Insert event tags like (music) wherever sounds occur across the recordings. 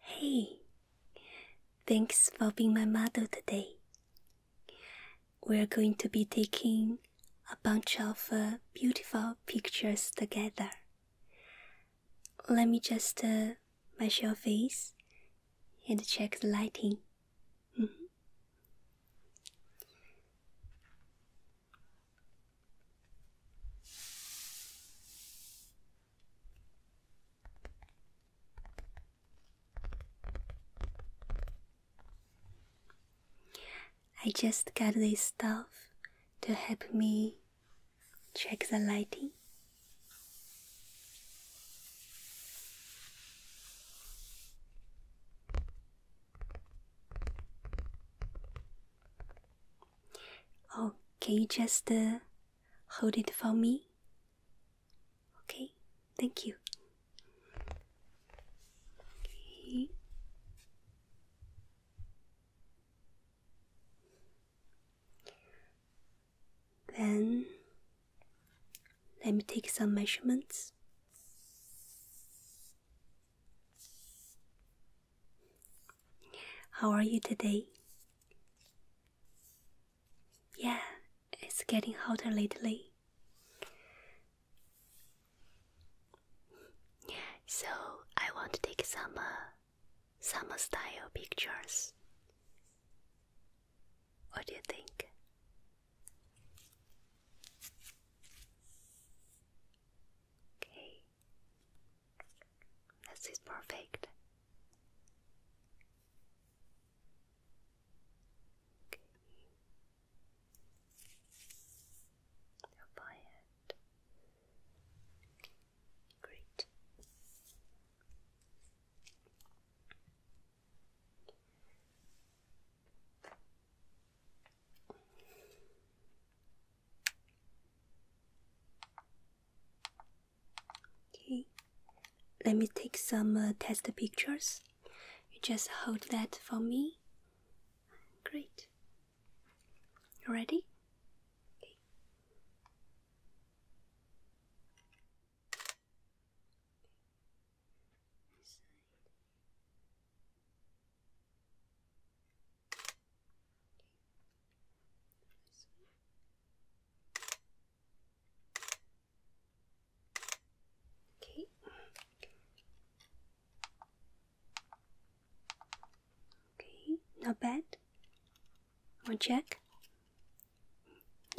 Hey, thanks for being my model today. We're going to be taking a bunch of uh, beautiful pictures together. Let me just uh, measure your face and check the lighting. Mm-hmm. I just got this stuff to help me check the lighting. Okay, just uh, Hold it for me. Okay, thank you. Then let me take some measurements. How are you today? Yeah, it's getting hotter lately. Yeah, So I want to take some uh, summer style pictures. What do you think? Okay. This is perfect. Okay. Great. Okay, let me take some uh, test pictures. You just hold that for me. Great. You ready? Nice. Okay. Okay, not bad. One check.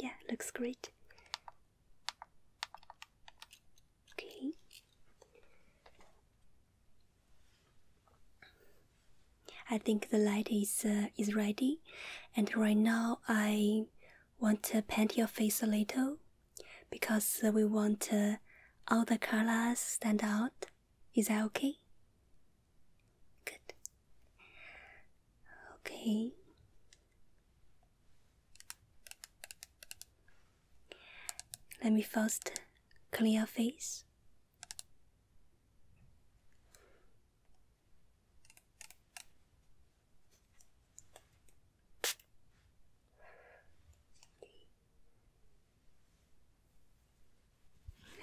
Yeah, looks great. Okay. I think the light is uh, is ready, and right now I want to paint your face a little, because uh, we want uh, all the colors stand out. Is that okay? Good. Okay. Let me first clear your face.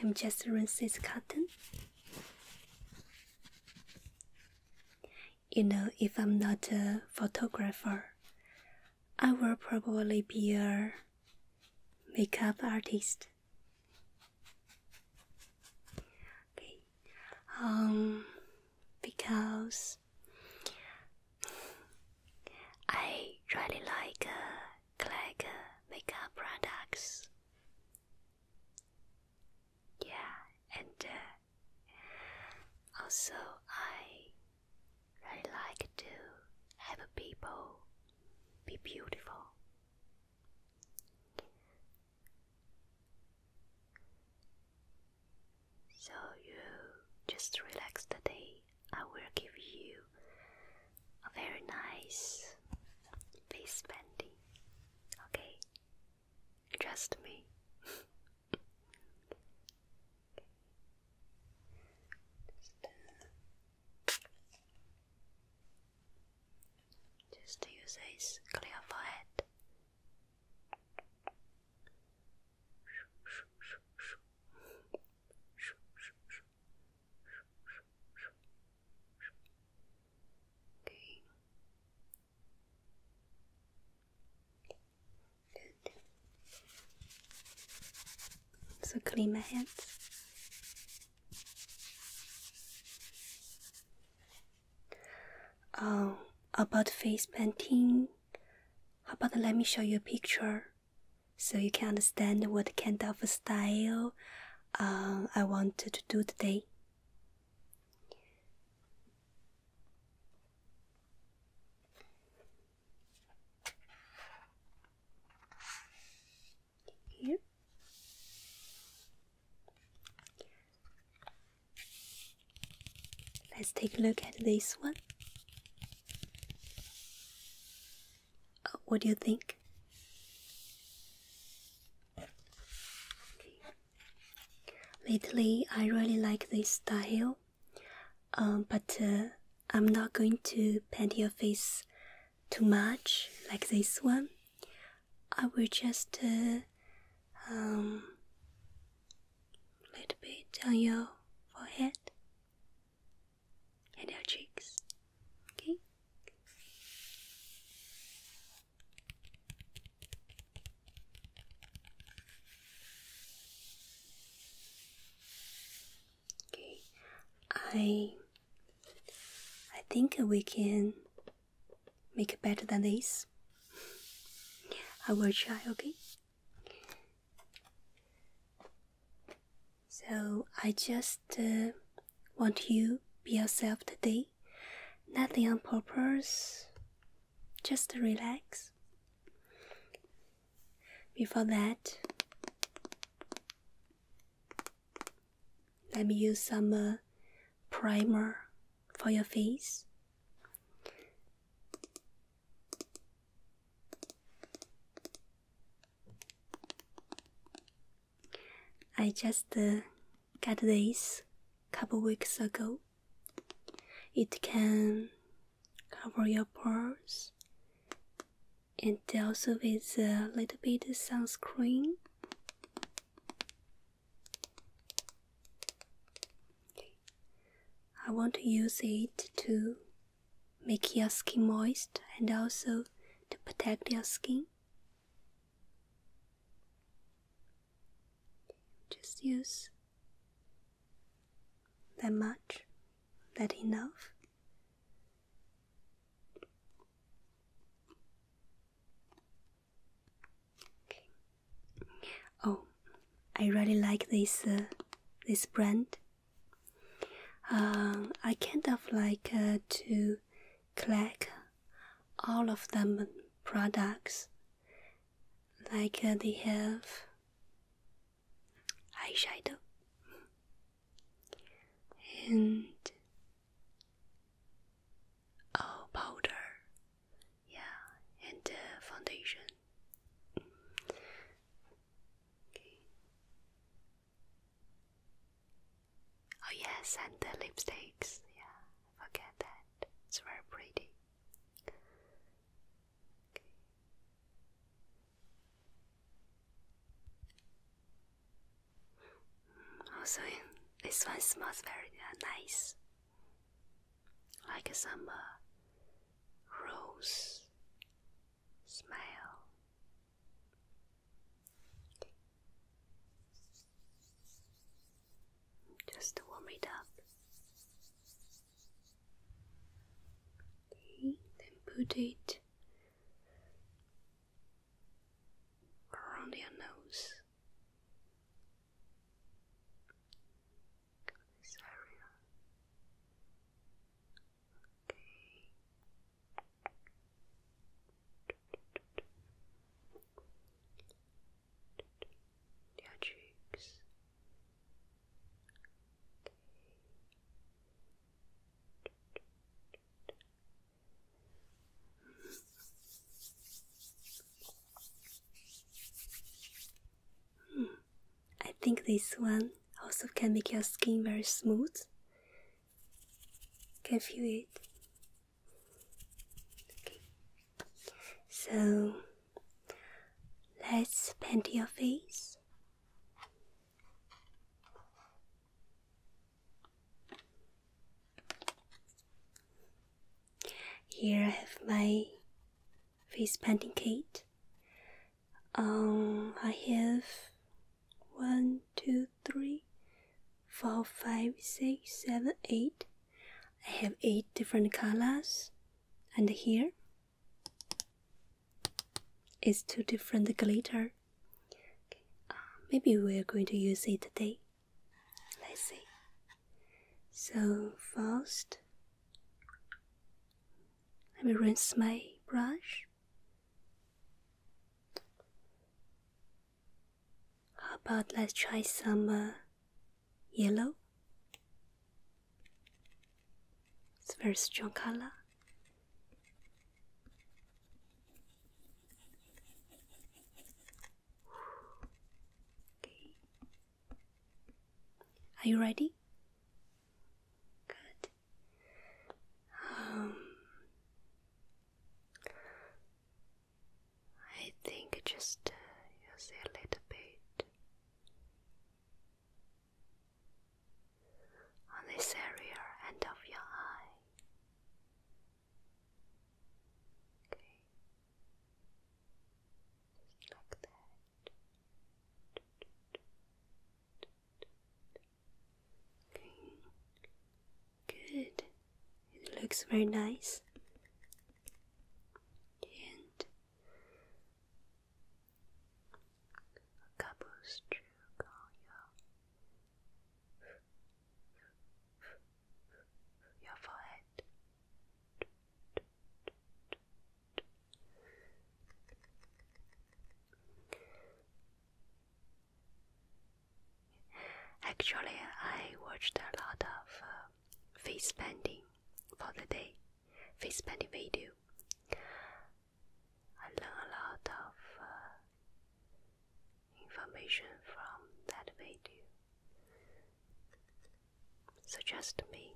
I'm just rinsing this cotton. You know, if I'm not a photographer, I will probably be a makeup artist. Okay. Um, because I really like uh, Clegg uh, makeup products. Yeah, and uh, also I really like to have people be beautiful. So you just relax today. I will give you a very nice face bending. Okay? Trust me. (laughs) Uh, just use this clear forehead. Okay. Good. So clean my hands. Um, about face painting, how about let me show you a picture so you can understand what kind of style uh, I wanted to do today here. Let's take a look at this one. Uh, what do you think? Lately, I really like this style, um, but uh, I'm not going to paint your face too much like this one, I will just uh, um, little bit on your forehead and your cheeks. Okay. Okay. I I think we can make better than this. I will try, okay? So I just uh, want you be yourself today. Nothing on purpose. Just relax. Before that, let me use some uh, primer for your face. I just uh, got this couple weeks ago. It can cover your pores and also with a little bit of sunscreen I want to use it to make your skin moist and also to protect your skin. Just use that much, that enough. Oh, I really like this uh, this brand. Uh, I kind of like uh, to collect all of them products. Like uh, they have eyeshadow and Oh, powder. Yeah, and uh, foundation. Oh, yes, and the lipsticks. Yeah, forget that. It's very pretty. Also, this one smells very uh, nice, like some uh, rose smell. Just warm it up. then put it around your nose. This area. Okay. Your cheeks. Okay. I think this one also can make your skin very smooth. Can feel it. So let's paint your face. Here I have my face painting kit. Um, I have one, two, three, four, five, six, seven, eight. I have eight different colors, and here is two different glitter. Uh, maybe we are going to use it today. Let's see. So first, let me rinse my brush. How about let's try some uh, yellow? It's a very strong color. Are you ready? Good. Um, I think just use uh, a little bit on this area and of your eye. Okay. Just like that. Okay. Good. It looks very nice. And a couple strokes your forehead. Actually, I watched a lot of uh, face painting for the day, face painting video. I learned a lot of uh, information from that video. Suggest me.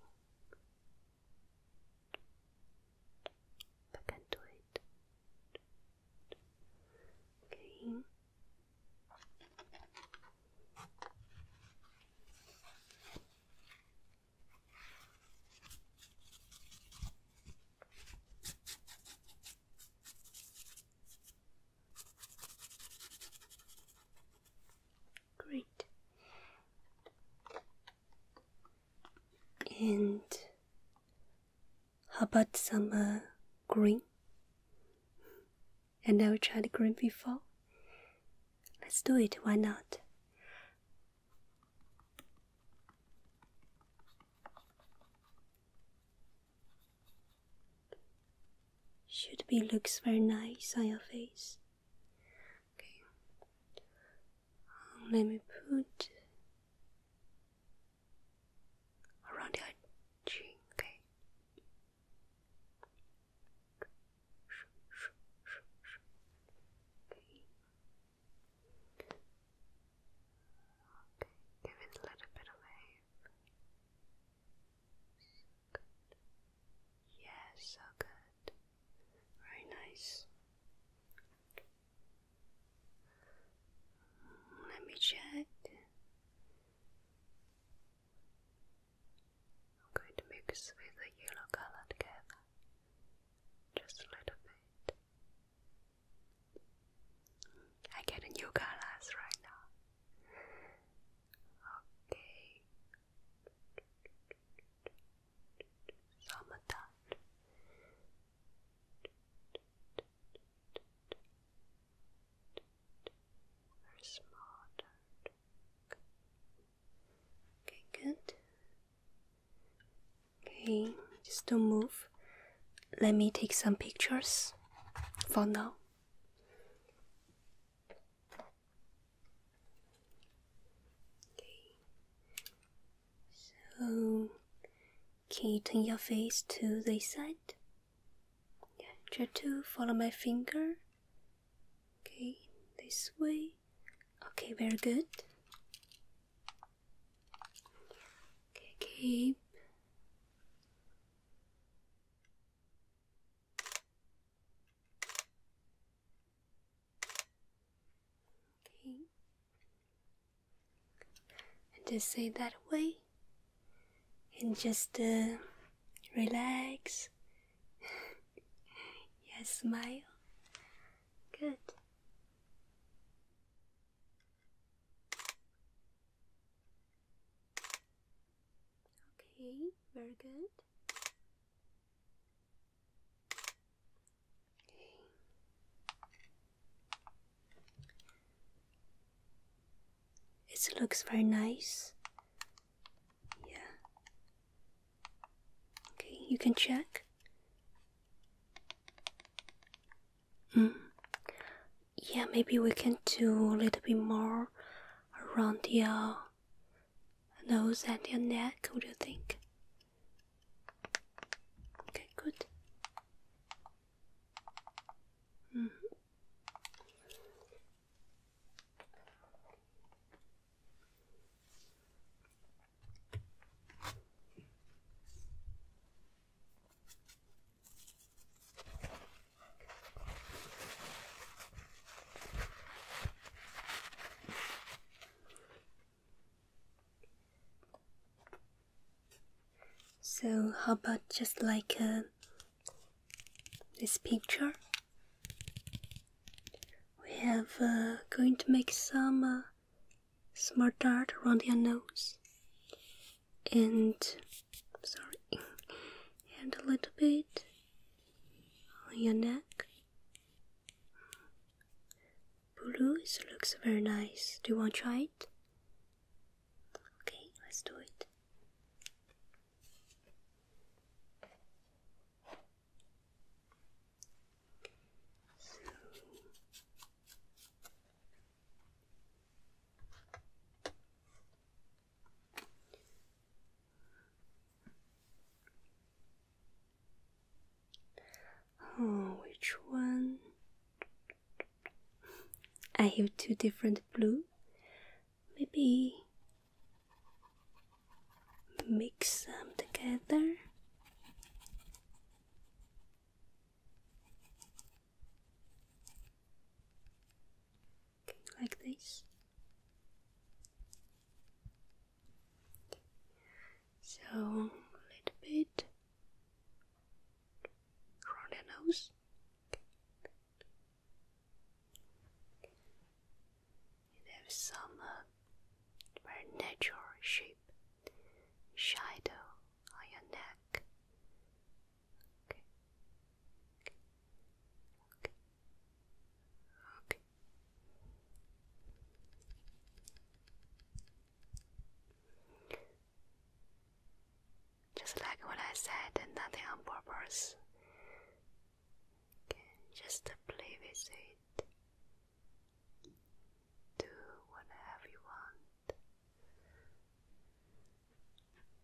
I can do it. Okay. Great. And how about some uh, green? And I will try the green before. Let's do it, why not? Should be looks very nice on your face. Okay. Um, let me put around your chin. Okay. Okay. give it a little bit away. So Yes, so good. Very nice. Let me check. I'm going to mix with the yellow color together. Just a little bit. I get a new colors right now. Okay. So i Okay, good. Okay, just don't move. Let me take some pictures for now. Okay. So can you turn your face to the side? try to follow my finger. Okay, this way. Okay, very good. Okay, keep Okay. And just say that way. And just uh, relax. (laughs) yes, smile. Good. Okay, very good. Okay. It looks very nice. Yeah. Okay, you can check. Mm. Yeah, maybe we can do a little bit more around your nose and your neck. What do you think? Okay, good. -hmm. So, how about just like uh, this picture? We have uh, going to make some uh, smart art around your nose and sorry, and a little bit on your neck. Blue looks very nice. Do you want to try it? Okay, let's do it. Oh, which one? I have two different blue. Maybe mix them together like this. So a little bit around the nose. It has some uh, very natural shape, shadow on your neck okay, okay, okay, okay. Just like what I said, nothing on purpose. just play with it. Do whatever you want.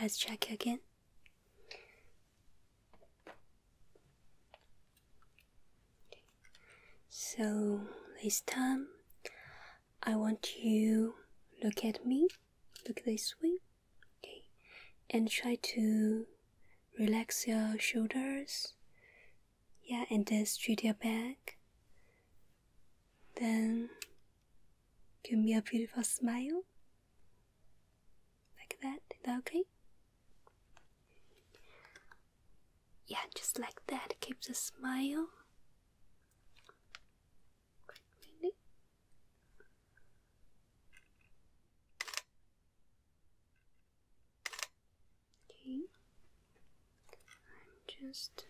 Let's check again. So this time I want you look at me, look this way, okay, and try to relax your shoulders, yeah, and then straight your back. Then give me a beautiful smile. Like that. Is that okay? Yeah, just like that. Keep the smile. Really? Okay. I'm just the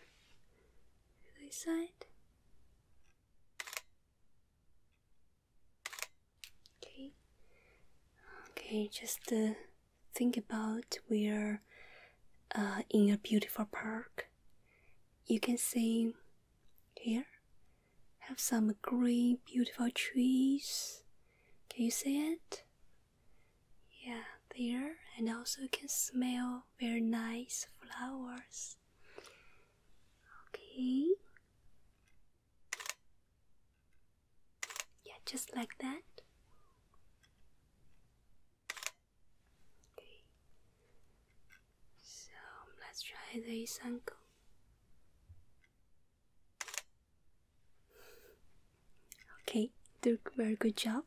other Okay. Okay, just uh, think about we're uh, in a beautiful park. You can see here have some green, beautiful trees. Can you see it? Yeah, there, and also you can smell very nice flowers. Okay. Yeah, just like that. Okay. So let's try this angle. Okay, do a very good job.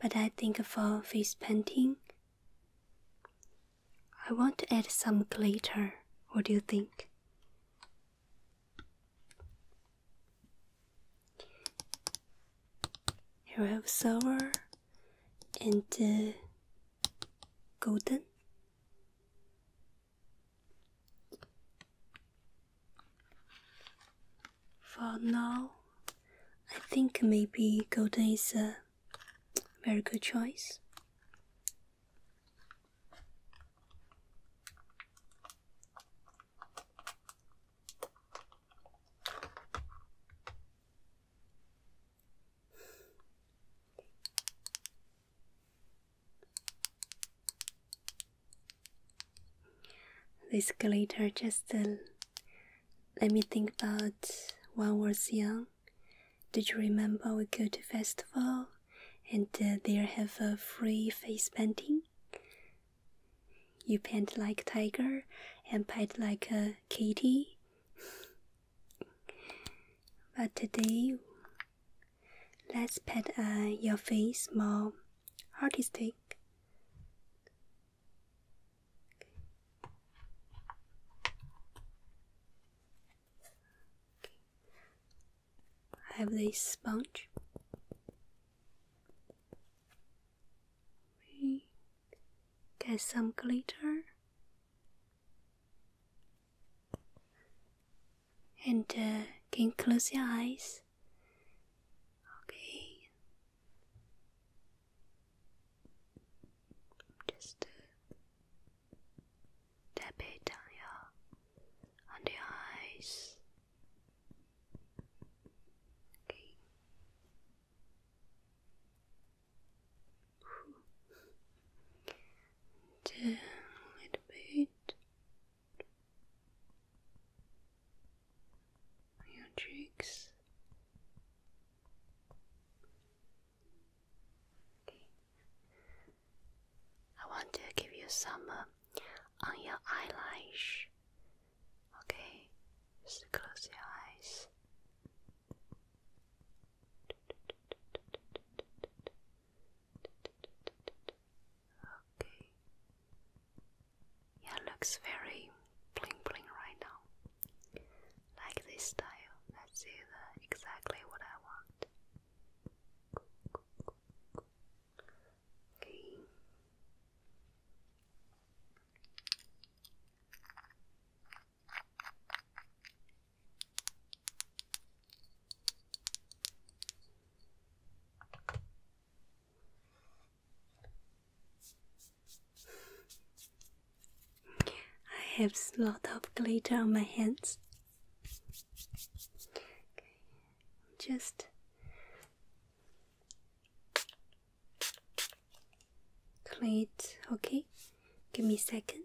But I think for face painting, I want to add some glitter. What do you think? Here we have silver and uh, golden for now, I think maybe golden is a very good choice. This glitter just uh, let me think about when I was young. Did you remember we go to festival and uh, there have a free face painting? You paint like tiger and paint like a kitty. But today, let's pet uh, your face more artistic. have this sponge. We get some glitter and uh, can close your eyes? Okay. Just uh, tap it on your on your eyes. Okay a little bit on your cheeks. Okay. I want to give you some uh, on your eyelash. Okay, just close your eyes. Okay. Yeah, looks very bling bling right now. Like this style. That's it, exactly what I want. Okay. I have a lot of glitter on my hands. Just clean it, okay? Give me a second.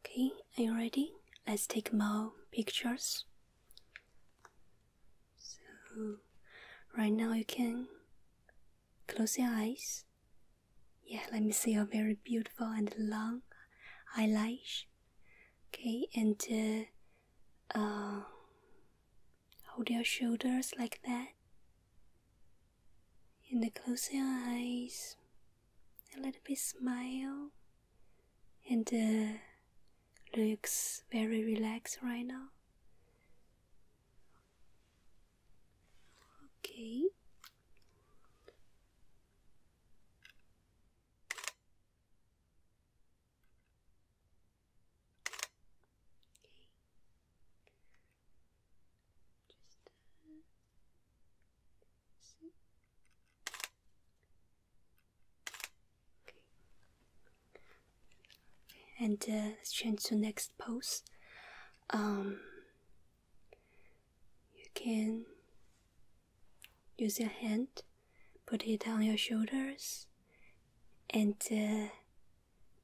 Okay, are you ready? Let's take more pictures. So, right now you can close your eyes. Yeah, let me see your very beautiful and long eyelash. Okay, and uh, uh hold your shoulders like that. And close your eyes. A little bit smile and uh, looks very relaxed right now. Okay. See? Okay. And uh, let's change to next pose. Um, you can use your hand, put it on your shoulders, and uh,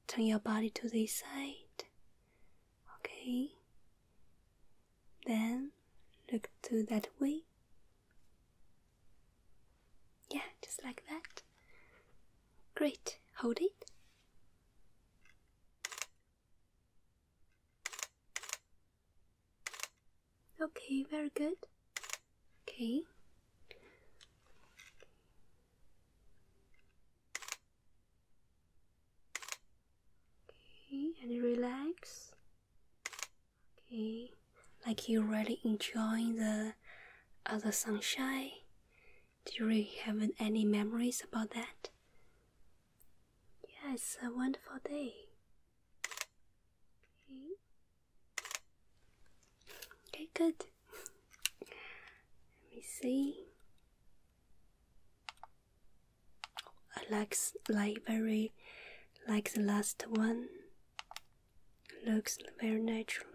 turn your body to this side. Okay. Then look to that way yeah, just like that. Great. Hold it. Okay, very good. Okay. Okay, and relax. Okay, like you really enjoying the other sunshine. Do you really have any memories about that? Yeah, it's a wonderful day. Okay, okay good. Let me see like library, like the last one. Looks very natural.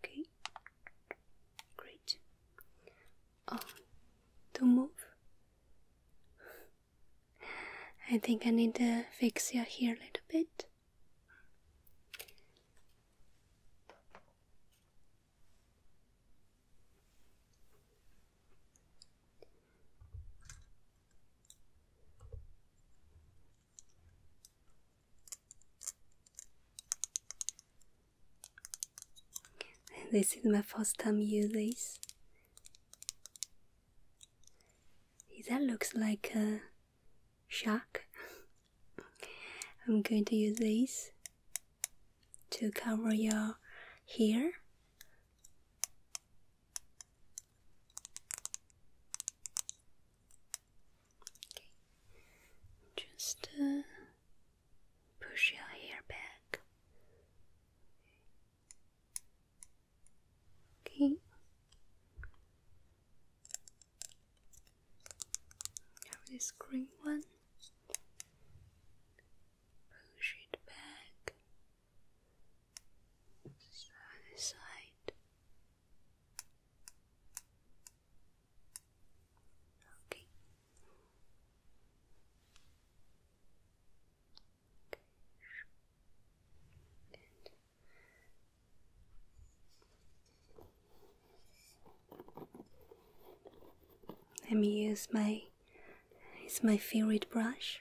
Okay, great. Oh, to move. I think I need to fix your hair a little bit. This is my first time use this. That looks like a shark. (laughs) I'm going to use this to cover your hair. Just uh, push your hair back. Okay. Now this green one. Push it back. Other side. Okay. okay. And let me use my it's my favorite brush.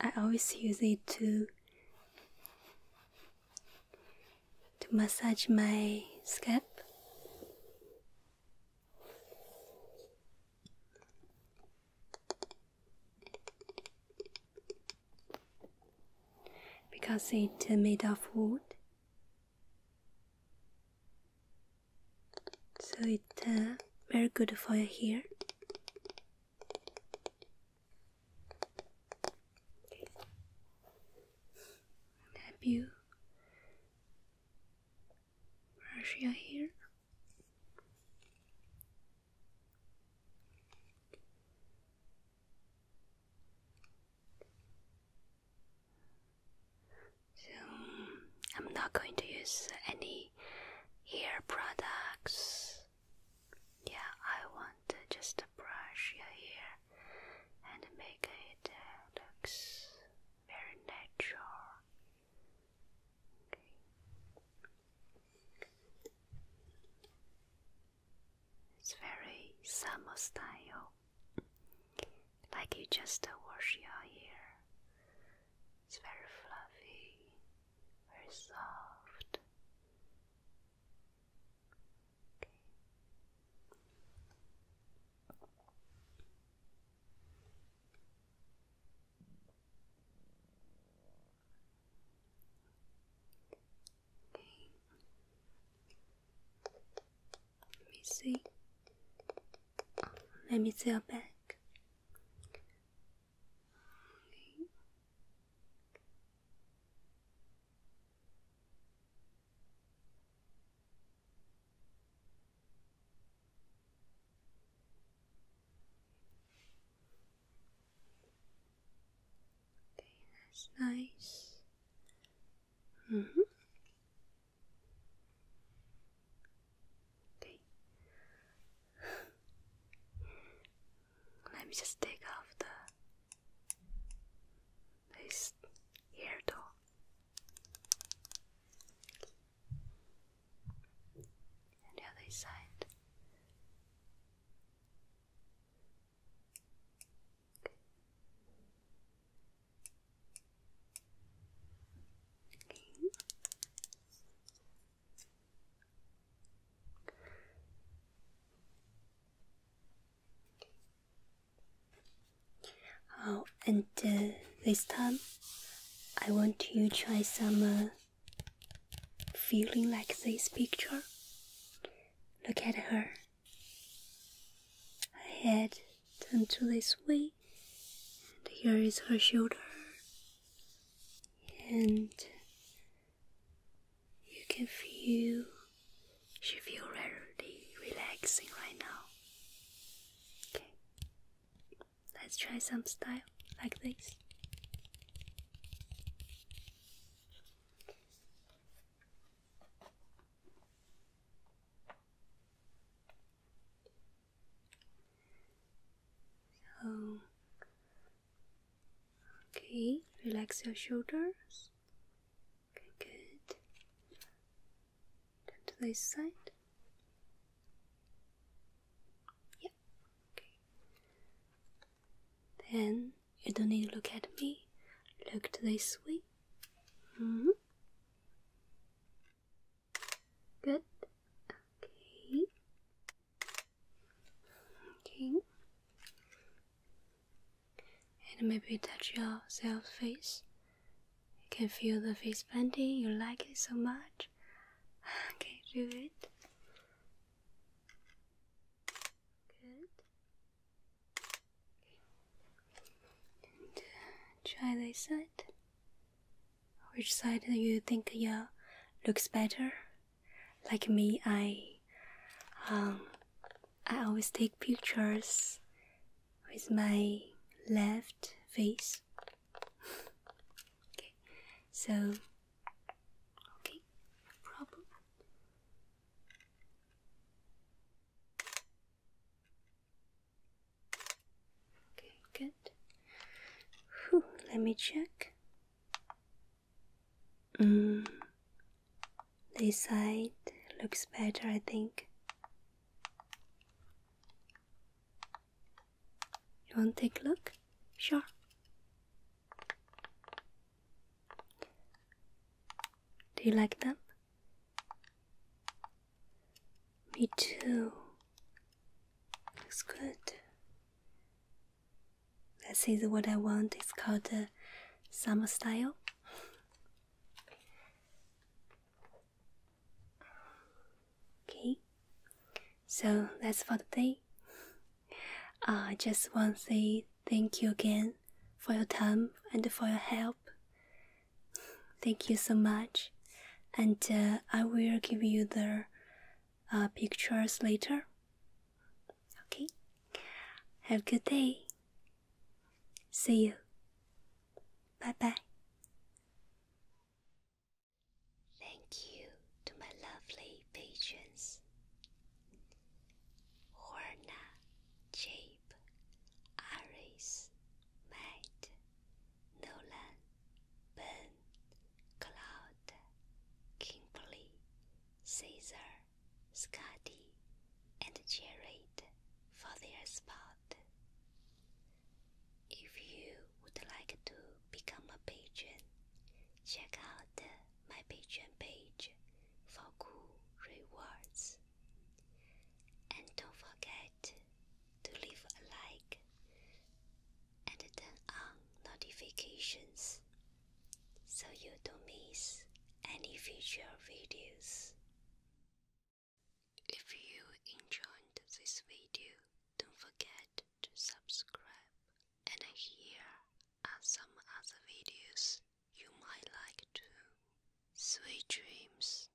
I always use it to to massage my scalp. Because it's made of wood, so it's uh, very good for your hair. Have you brush your so, I'm not going to use any hair products. Yeah, I want to brush your hair and make it uh, looks very natural. It's very summer style like you just wash your hair. It's very fluffy, very soft. Okay. Okay. Let me see. let me see your back. Okay. that's nice. Mm -hmm. Okay. (laughs) Let me just take off the this ear And the other side. Okay. Oh, and uh, this time I want to try some uh, feeling like this picture. Look at her. Her head turned to this way and here is her shoulder, and you can feel she feel really relaxing right now. Okay, let's try some style like this okay, relax your shoulders. good. Turn to this side. Yep. Then you don't need to look at me. Look to this way. -hmm. Good. Okay. Okay. And maybe touch your self face. You can feel the face bending. You like it so much. (laughs) Okay, do it. Good. And, uh, try this side. Which side do you think yeah, looks better? Like me, I um, I always take pictures with my left face. okay, so okay, no problem. Okay, good. let me check. Mm, this side looks better, I think. You want to take a look? Sure. Do you like them? Me too. Looks good. This is what I want. It's called uh, summer style. Okay, so that's for today. Uh, I just want to say thank you again for your time and for your help. Thank you so much, and uh, I will give you the uh, pictures later. Okay, have a good day. See you. Bye bye. Thank you to my lovely patrons Horna, Jabe, Aris, Matt, Nolan, Ben, Cloud, Kimberly, Caesar, Scotty, and Jared for their spot. If you would like to become a patron, check out my Patreon page for cool rewards. And don't forget to leave a like and turn on notifications so you don't miss any future videos. If you enjoyed this video, don't forget to subscribe. And here are some other videos you might like too. Sweet dreams.